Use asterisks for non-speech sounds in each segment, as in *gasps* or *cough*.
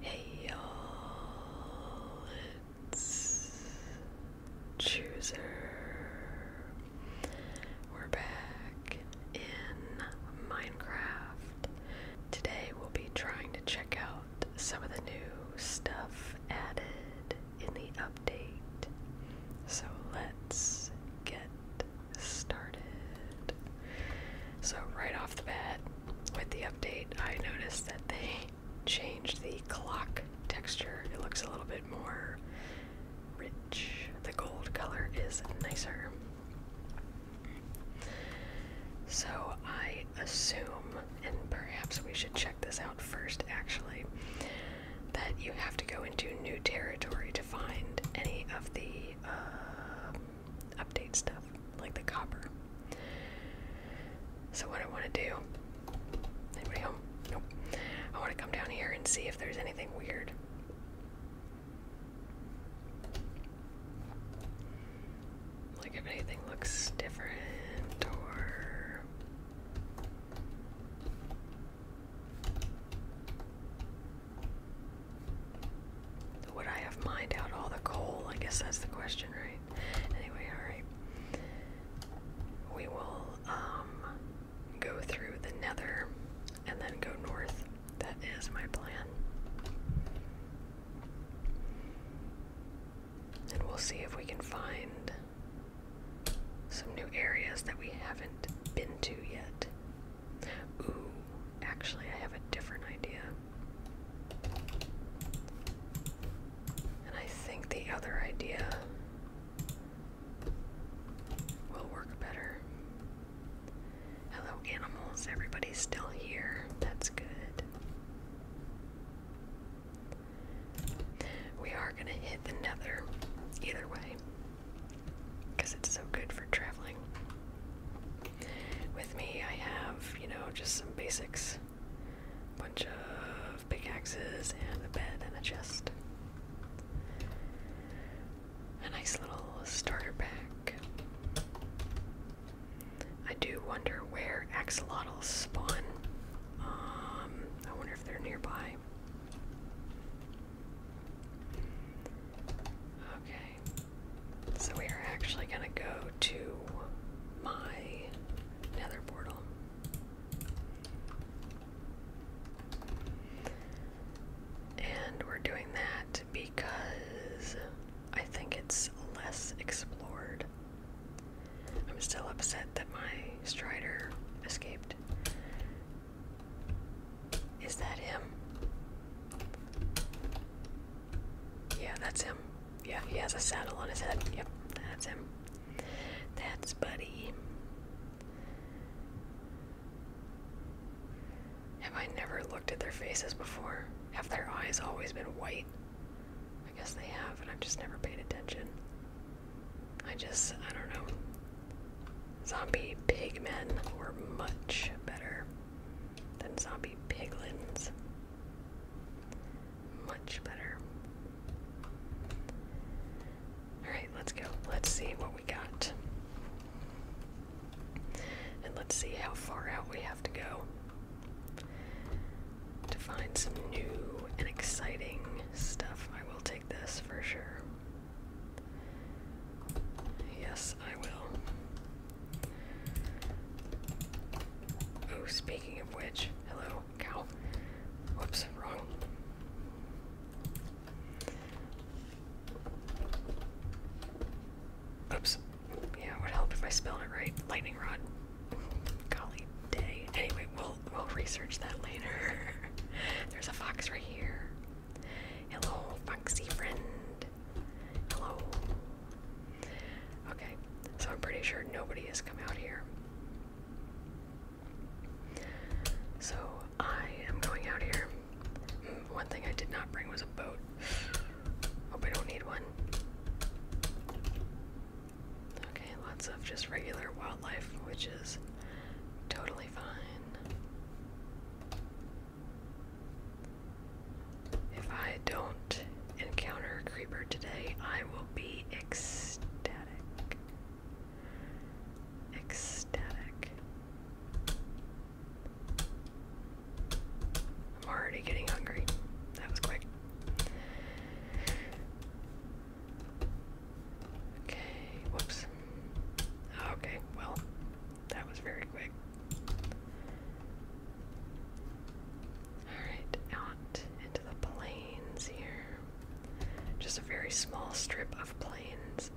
Hey y'all, it's Chooser. We're back in Minecraft. Today we'll be trying to check out some of the new stuff added in the update. So let's get started. So, right off the bat, with the update, I noticed that they changed the clock texture. It looks a little bit more rich. The gold color is nicer. So I assume, and perhaps we should check this out first actually, that you have to go into new territory to find any of the uh, update stuff, like the copper. So what I want to do, anybody I want to come down here and see if there's anything weird. Like if anything looks different or would I have mined out all the coal? I guess that's the question, right? Anyway, alright. We will um, go through the nether and then go north. That is my plan. And we'll see if we can find some new areas that we haven't been to yet. Ooh, actually, I have a different idea. And I think the other idea will work better. Hello, animals. Everybody's still here. That's good. We are going to hit the nether either way because it's so good for traveling. With me, I have, you know, just some basics. Bunch of pickaxes and a bed and a chest. A nice little starter pack. I do wonder where axolotls spawn. Um, I wonder if they're nearby. Okay. So we are actually going to go to my nether portal. And we're doing that because I think it's less explored. I'm still upset that my strider escaped. Is that him? Yeah, that's him. Yeah, he has a saddle on his head. Yep, that's him. That's Buddy. Have I never looked at their faces before? Have their eyes always been white? I guess they have, and I've just never paid attention. I just, I don't know. Zombie pigmen were much better than zombie piglins. Much better. Alright, let's go. Let's see what we got. And let's see how far out we have to go to find some new and exciting stuff. I will take this for sure. Yes, I will. Oh, speaking of which, hello, cow. Whoops, wrong. Oops. Yeah, it would help if I spelled it right. Lightning rod. Golly day. Anyway, we'll we'll research that later. *laughs* There's a fox right here. Hello, foxy friend. Hello. Okay, so I'm pretty sure nobody has come out here. So I am going out here. Hmm, one thing I did not bring was a boat. Hope I don't need one. Okay, lots of just regular wildlife, which is totally fine. If I don't encounter a creeper today, I will be ecstatic. Ecstatic. I'm already getting hungry. That was quick. Okay, whoops. Okay, well, that was very quick. Alright, out into the plains here. Just a very small strip of plains.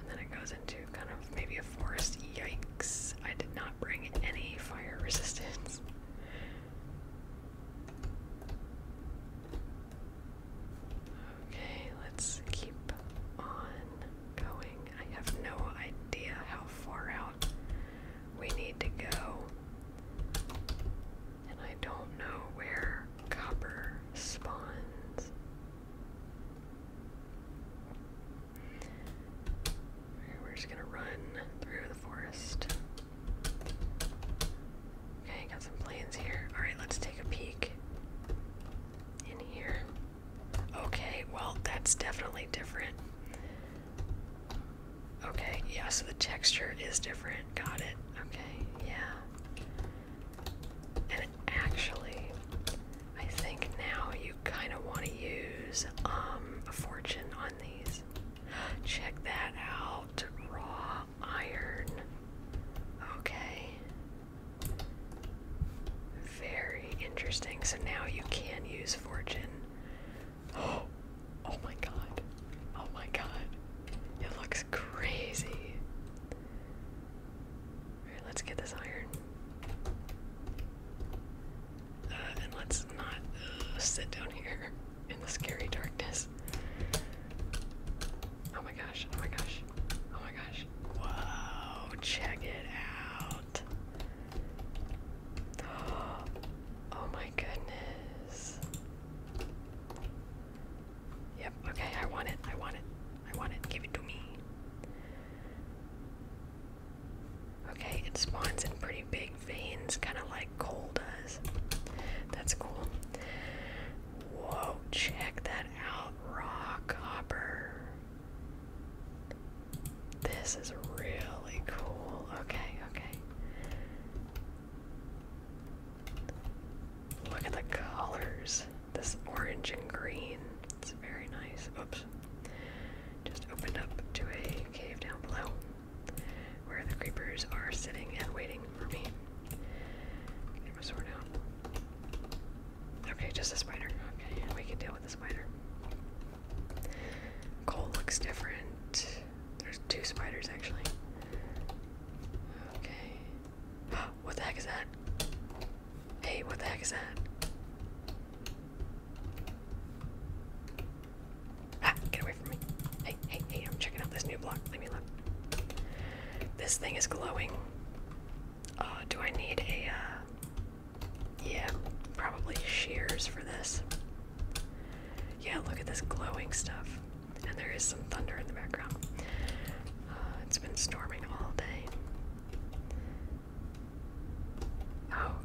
And then it goes into kind of maybe a forest. Yikes! I did not bring any fire *laughs* resistance. Okay, let's keep on going. I have no idea how far out we need to go. And I don't know where copper spawns. We're just gonna run through the forest. Okay, got some planes here. Alright, let's take a peek in here. Okay, well, that's definitely different. Okay, yeah, so the texture is different. Got it. Okay, yeah. And actually, I think now you kind of want to use um, a fortune on these. *gasps* Check that out. Raw iron. Okay. Very interesting. So now you can use fortune. Oh, *gasps* oh my god. Oh my god. It looks crazy. let's get this iron. Uh, and let's not uh, sit down here *laughs* in the scary darkness. Oh my gosh, oh my gosh, oh my gosh. Whoa, check it out. *gasps* Oh my goodness. Yep, okay, I want it, I want it, I want it, give it to me. Okay, it spawns in pretty big veins, kind of like coal does. That's cool. Whoa, check that out. Raw copper. This is really cool. Okay, okay. Look at the colors. This orange and green. It's very nice. Oops. Just opened up to a cave down below where the creepers are sitting and waiting for me. Get my sword out. Okay, just a spider. Okay, we can deal with the spider. Coal looks different. There's two spiders actually. Okay. *gasps* What the heck is that? Hey, what the heck is that? Ah, get away from me. Hey, hey, hey, I'm checking out this new block. Let me look. This thing is glowing. Uh, do I need a, uh, yeah, probably shears for this. Yeah, look at this glowing stuff. And there is some thunder in the background. Uh, it's been storming all day.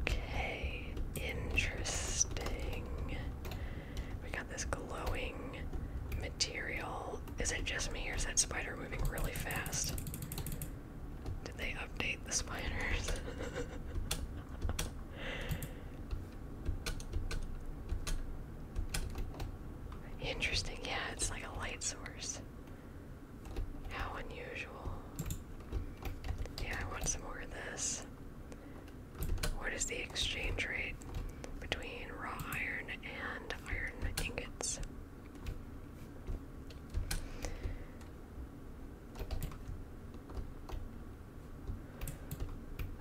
Okay, interesting. We got this glowing material. Is it just me or is that spider moving really fast? Did they update the spiders? *laughs* Interesting, yeah, it's like a light source. How unusual. Yeah, I want some more of this. What is the exchange rate between raw iron and iron ingots?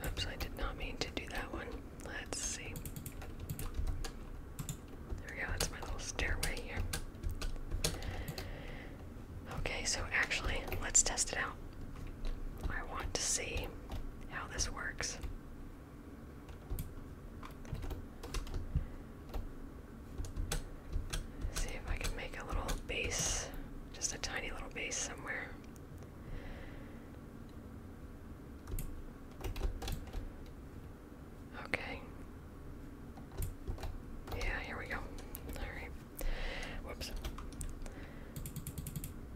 Oops, I did not mean to do that one. Let's see. There we go, that's my little stairway here. Okay, so actually, let's test it out. I want to see how this works. See if I can make a little base, just a tiny little base somewhere. Okay. Yeah, here we go. Alright. Whoops.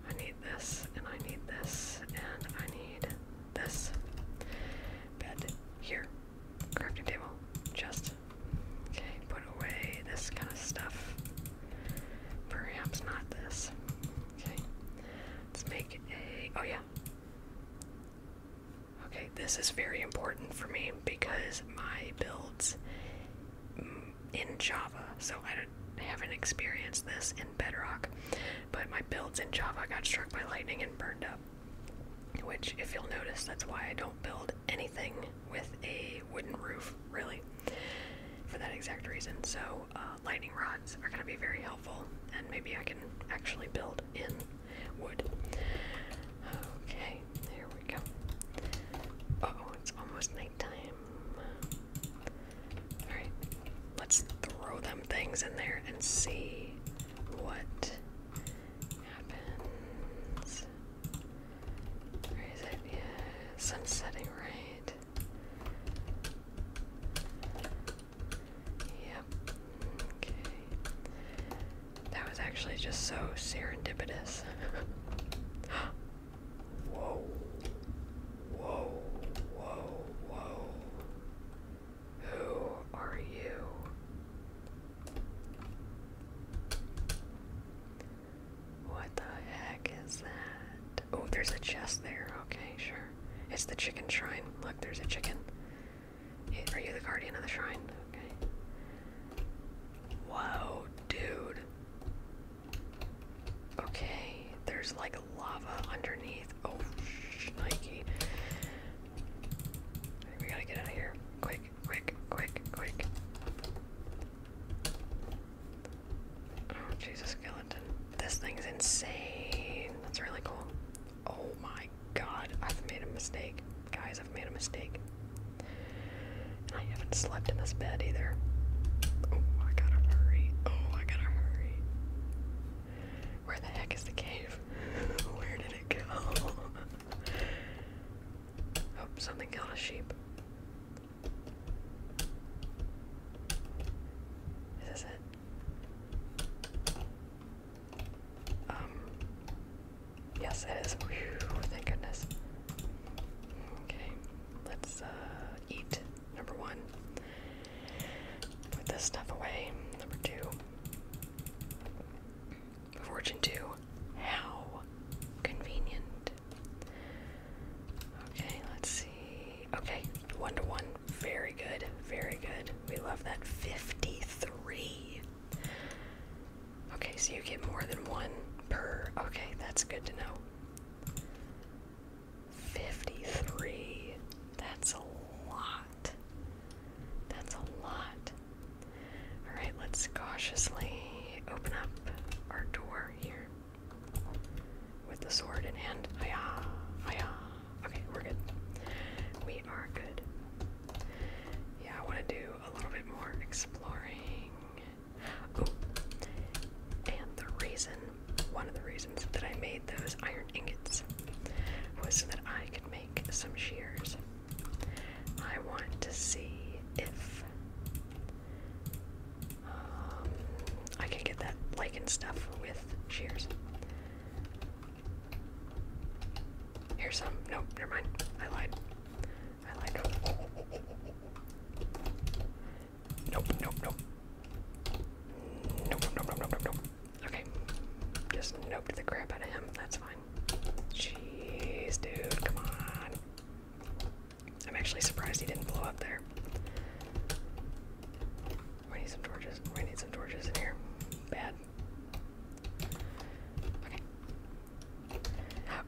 I need this, and I need this, and I need this. Bed here. Crafting table. just Okay, put away this kind of stuff. Perhaps not this. Okay. Let's make a. Oh, yeah. Okay, this is very important for me because my builds mm, in Java, so I haven't experienced this in Bedrock, but my builds in Java got struck by lightning and burned up. Which, if you'll notice, that's why I don't build anything with a wooden roof, really, for that exact reason. So, uh, lightning rods are going to be very helpful, and maybe I can actually build in wood. Okay, there we go. oh, it's almost nighttime. Alright, let's throw them things in there and see what happens is. Where is it? setting, right? Yep. Okay. That was actually just so serendipitous. *laughs* whoa. Whoa. Whoa. Whoa. Who are you? What the heck is that? Oh, there's a chest there. Okay, sure. It's the chicken shrine. Look, there's a chicken. Are you the guardian of the shrine? Okay. Whoa, dude. Okay, there's like lava underneath. Oh, Nike. We gotta get out of here. Quick quick, quick, quick. Oh, Jesus, skeleton. This thing's insane. That's really cool. Oh my god, I've made a mistake. Guys, I've made a mistake. And I haven't slept in this bed either. Oh, I gotta hurry. Oh, I gotta hurry. Where the heck is the cave? *laughs* Where did it go? Oh, something killed a sheep. Is it? Um. Yes, it is. thank goodness. Okay, let's uh, eat. Number one. Put this stuff away. Number two. Fortune 2. How convenient. Okay, let's see. Okay, 1 to 1. Very good. Very good. We love that. 53. Okay, so you get more than one per. Okay, that's good to know. 53. That's a lot. That's a lot. Alright, let's cautiously open up our door here with the sword in hand. Hiya, hiya. Okay, we're good. We are good. Yeah, I want to do a little bit more exploring. Oh, and the reason, one of the reasons that I made those iron ingots was so that I could make some shears. I want to see if um, I can get that lichen stuff with shears. Here's some. Nope, never mind. I lied. I lied. Nope, nope, nope. Nope, nope, nope, nope, nope, nope. Okay. Just nope to the crap out of him. That's fine. Jeez, dude, come on. I'm actually surprised he didn't blow up there. We need some torches. We need some torches in here. Bad. Okay.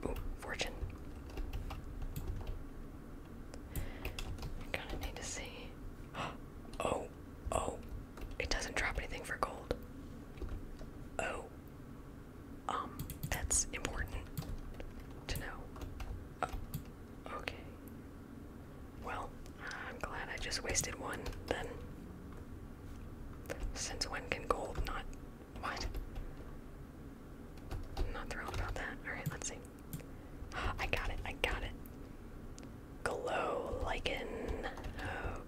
Ooh, fortune. I kinda need to see. *gasps* Oh, oh. It doesn't drop anything for gold. Oh, um, that's important to know. Oh, okay. Well, I'm glad I just wasted one then. Since when can gold not. What? not thrilled about that. Alright, let's see. *gasps* I got it, I got it. Glow lichen.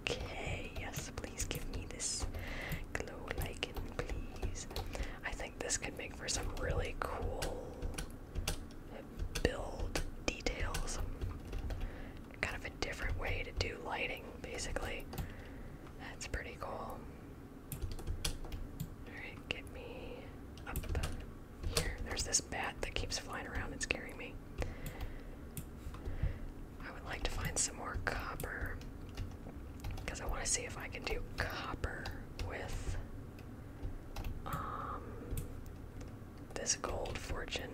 Okay, yes, please give me this glow lichen, please. I think this could make for some really cool build details. Kind of a different way to do lighting, basically. That's pretty cool. Alright, get me up here. There's this bat that keeps flying around and scaring me. I would like to find some more copper because I want to see if I can do copper with um, this gold fortune.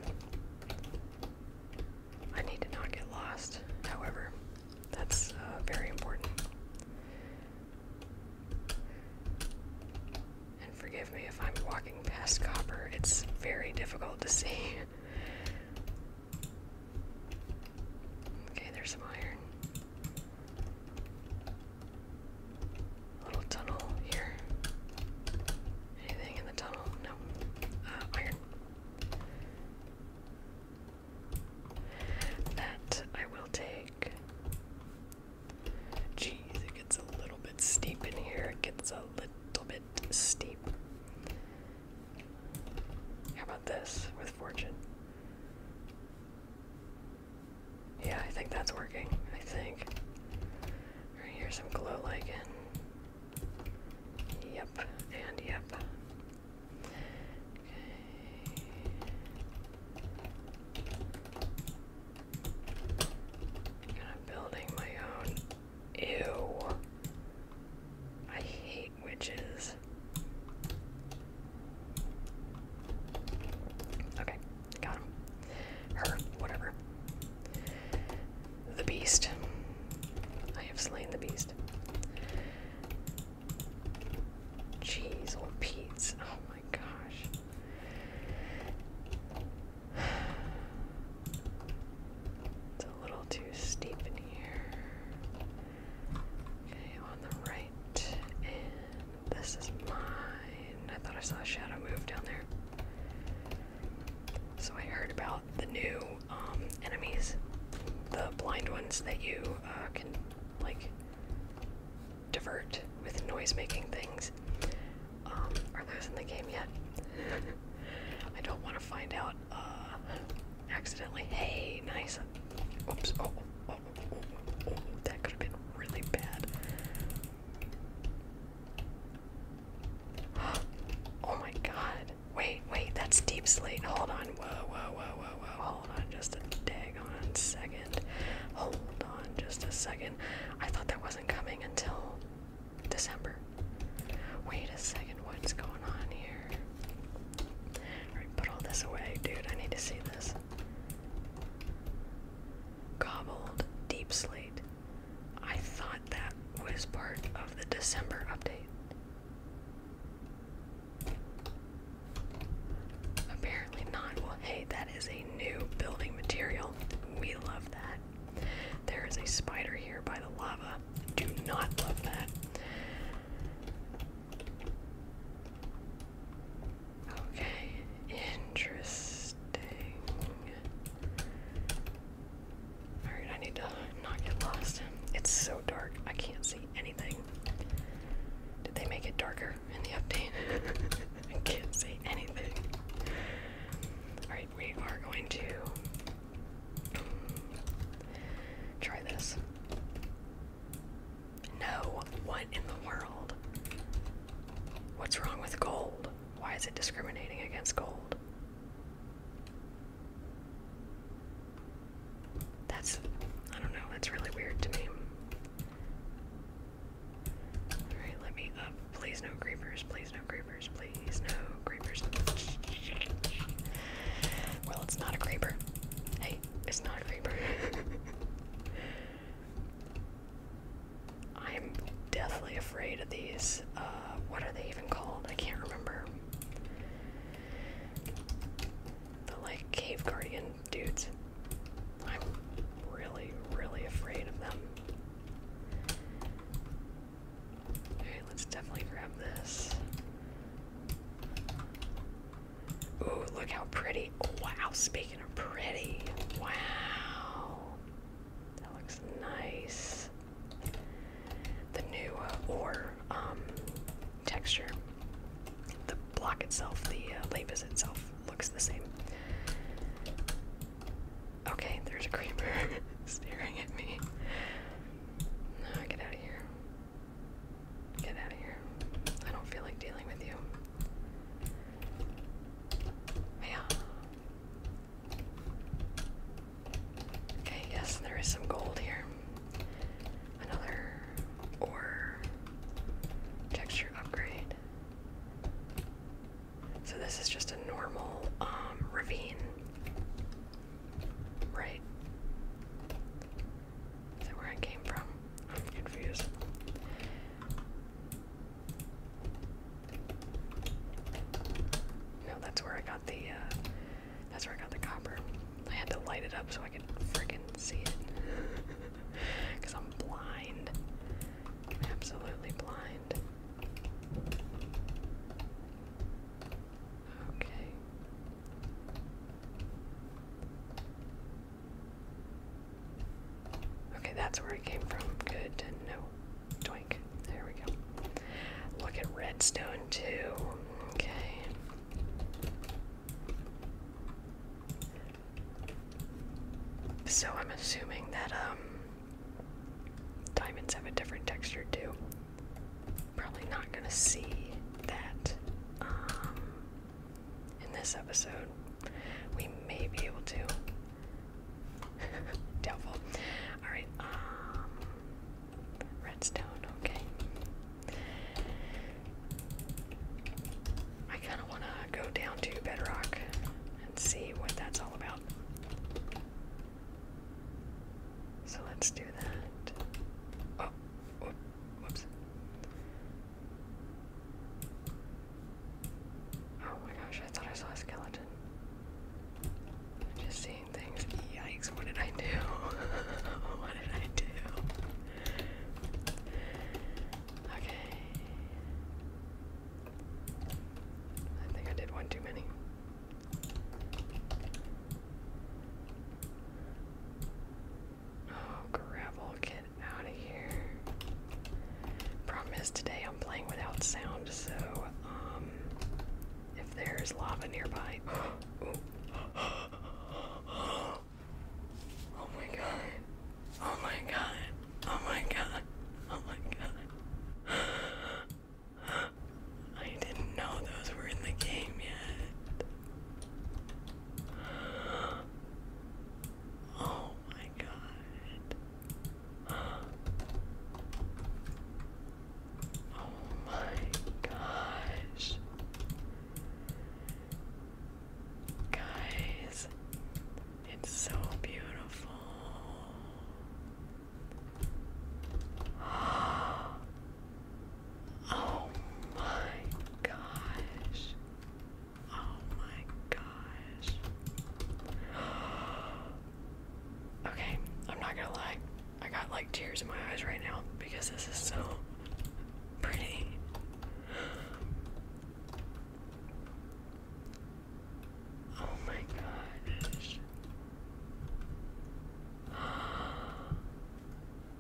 I need to not get lost, however, that's uh, very important. And forgive me if I'm walking past copper, it's very difficult to see. Okay, there's some iron. little tunnel here. Anything in the tunnel? No. Uh, iron. That I will take. Jeez, it gets a little bit steep in here. It gets a little bit steep. How about this with fortune? Yeah, I think that's working. I think. Right here, some glow lichen. Yep, and yep. Okay. kind of building my own Ew. I hate witches. Okay, got him. Her, whatever. The beast. I have slain the beast. Jeez, old Pete's. Oh my gosh. *sighs* a little too steep in here. Okay, on the right. And this is mine. I thought I saw a shadow move down there. So I heard about the new um, enemies, the blind ones that you uh, can like divert with noise-making things. Um, are those in the game yet? *laughs* I don't want to find out uh, accidentally. Hey, nice. Oops. Oh, oh, oh, oh, oh, that could have been really bad. Oh my god. Wait, wait, that's deep slate. Hold on. Whoa, whoa, whoa, whoa, whoa. Hold on just a daggone second. Hold on just a second. I thought that wasn't coming until December. Wait a second, what's going on here? put all this away, dude. I need to see this. Gobbled deep slate. I thought that was part of the December update. Apparently not. Well, hey, that is a new building material. We love that. There is a spider here by the lava. Do not love that. Okay, interesting. Alright, I need to not get lost. It's so dark, I can't see anything. Did they make it darker in the update? *laughs* I can't see anything. Alright, we are going to Try this. No, what in the world? What's wrong with gold? Why is it discriminating against gold? That's, I don't know, that's really weird to me. Alright, let me up. Please no creepers, please no creepers, please, no creepers. Well, it's not a creeper. Hey, it's not a creeper. *laughs* I'm deathly afraid of these. Uh, what are they even called? I can't remember. The like cave guardian dudes. I'm really, really afraid of them. Okay, let's definitely grab this. Ooh, look how pretty. wow, speaking of pretty. Wow. That looks nice. The new uh, ore um, texture. The block itself, the uh, lapis itself looks the same. Okay, there's a creeper *laughs* staring at me. No, get out of here. Get out of here. I don't feel like dealing with you. Yeah. Okay, yes, there is some gold here. Another ore texture upgrade. So this is just a normal um, ravine. Right. Is that where I came from? I'm confused. No, that's where I got the, uh, that's where I got the copper. I had to light it up so I could freaking see it. Because *laughs* I'm blind. absolutely blind. Okay. Okay, that's where it came from. Good to know. There we go. Look at redstone too. Okay. So I'm assuming that um diamonds have a different texture too probably not going to see that um, in this episode. We may be able to. *laughs* Doubtful. Alright, um, redstone, okay. I kind of want to go down to bedrock and see what that's all about. So let's do that. Oh, whoop, whoops. Oh my gosh, I thought I saw a skeleton. i just seeing things. Yikes, what did I do? *laughs* what did I do? Okay. I think I did one too many. Oh, gravel, get out of here. Problem is, today I'm playing without sound, so, um, if there's lava nearby. *gasps* oh my god. Oh my god. Oh my god. Oh my god. I didn't know those were in the game yet. Oh my god. Oh my gosh. Guys, it's so beautiful. Oh my gosh. Oh my gosh. Okay, I'm not gonna lie. I got like tears in my eyes right now because this is so pretty. Oh my gosh.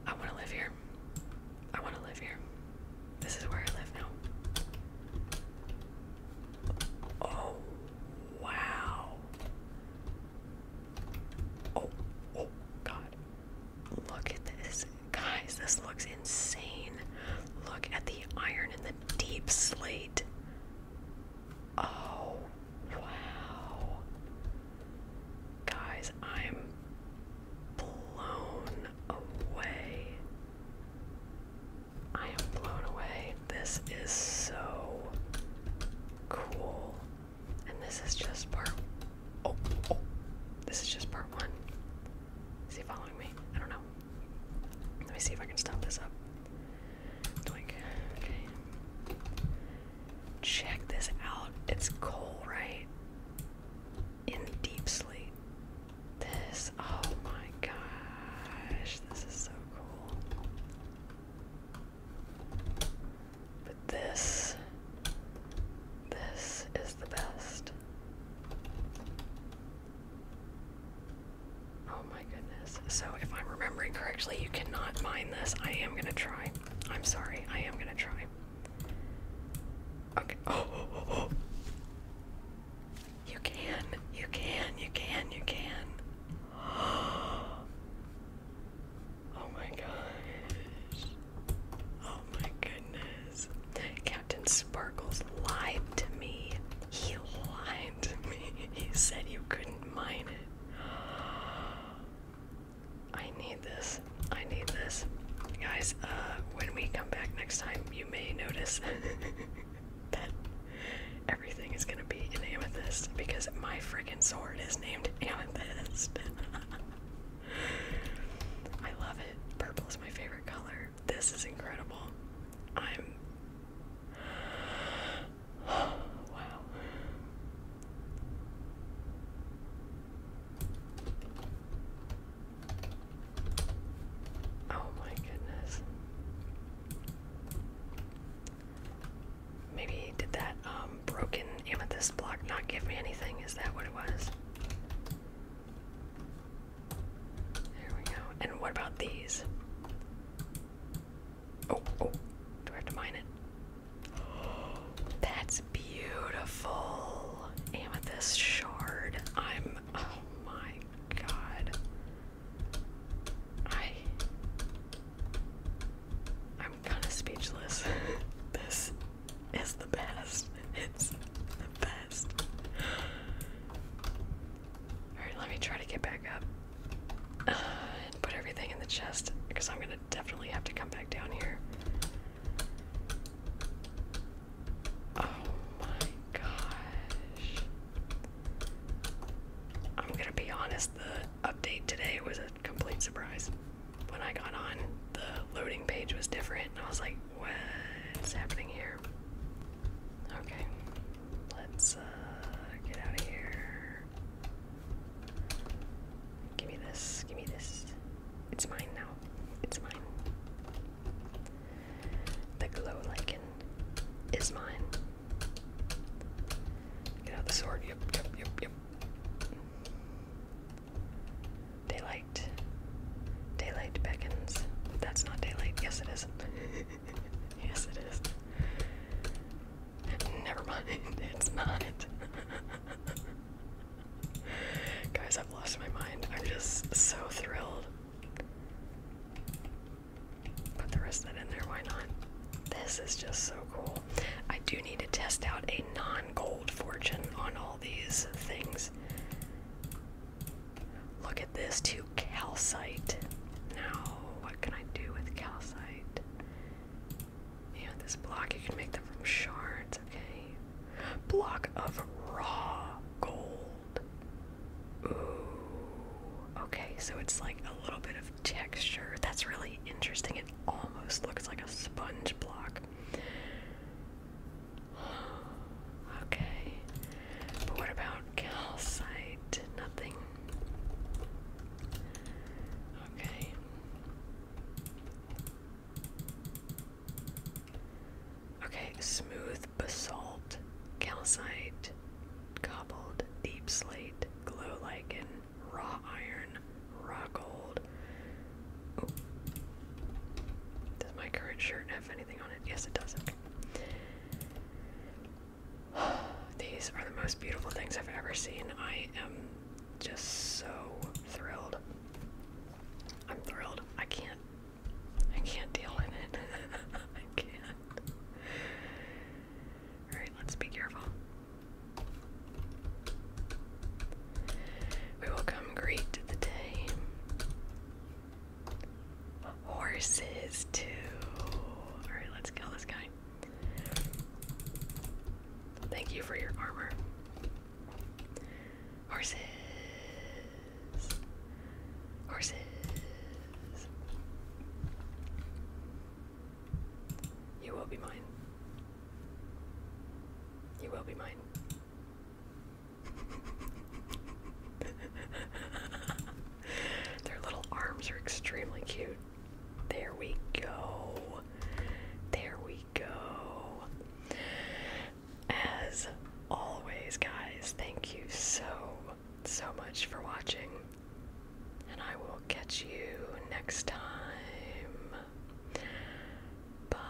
I want to live here. I want to live here. This is where I live now. Oh, wow. Oh, oh, God. Look at this. Guys, this looks insane. Look at the iron and the deep slate. Oh, wow. Guys, I'm blown away. I am blown away. This is so cool. And this is just part oh, oh. This is just part one. Is he following me? I don't know. Let me see if I can stop this up. Check this out. It's coal, right? In deep sleep. This, oh my gosh, this is so cool. But this, this is the best. Oh my goodness. So, if I'm remembering correctly, you cannot mine this. I am gonna try. I'm sorry. I am gonna try. Okay. Oh, oh, oh, oh. You can. You can. You can. You can. *gasps* Oh my gosh. Oh my goodness. Captain Sparkles lied to me. He lied to me. He said you couldn't mine it. I need this. I need this. Guys, uh, when we come back next time, you may notice *laughs* that everything is gonna be in amethyst because my freaking sword is named Amethyst. *laughs* I love it. Purple is my favorite color. This is incredible. I'm wow. Oh my goodness. Maybe did that um, broken amethyst block not give me anything? Is that what it was? There we go. And what about these? Oh, oh, do I have to mine it? That's beautiful. Amethyst shard. I'm, oh my god. I, I'm kind of speechless. *laughs* this is the best. It's the best. Alright, let me try to get back up uh, *sighs* and put everything in the chest because I'm gonna definitely have to come back down here. Oh my gosh. I'm gonna be honest, the update today was a complete surprise. When I got on, the loading page was different, I was like, what's happening here? Okay, let's uh, get out of here. Give me this. Give me this. It's mine now. It's mine. The glow like, is mine. Get out the sword. Yep, yep, yep, yep. Daylight. Daylight beckons. That's not daylight. Yes, it is. *laughs* yes, it is. Never mind, *laughs* it's not. Guys, I've lost my mind. I'm just so thrilled. Put the rest of that in there, why not? This is just so cool. I do need to test out a non gold fortune on all these things. Look at this, too. Calcite. Now, what can I do with calcite? Yeah, this block, you can make them from shards, okay? Block of raw gold. Ooh. Okay, so it's like a little bit of texture. That's really interesting. It almost looks like a sponge block. *sighs* Okay. But what about calcite? Nothing Okay. Okay, smooth basalt, calcite, cobbled, deep slate, glow lichen, raw iron, raw gold. Does my current shirt have anything on it? Yes, it does. *sighs* These are the most beautiful things I've ever seen. I am just so thrilled. I'm thrilled. I can't I can't deal with it. *laughs* I can't. Alright, let's be careful. We will come greet the day. Horses too. Alright, let's kill this guy. Thank you for your armor. Horses. Horses. You will be mine. You will be mine. *laughs* Their little arms are extremely cute. There we go. There we go. As always, guys, thank you so, so much for watching. And I will catch you next time. Bye.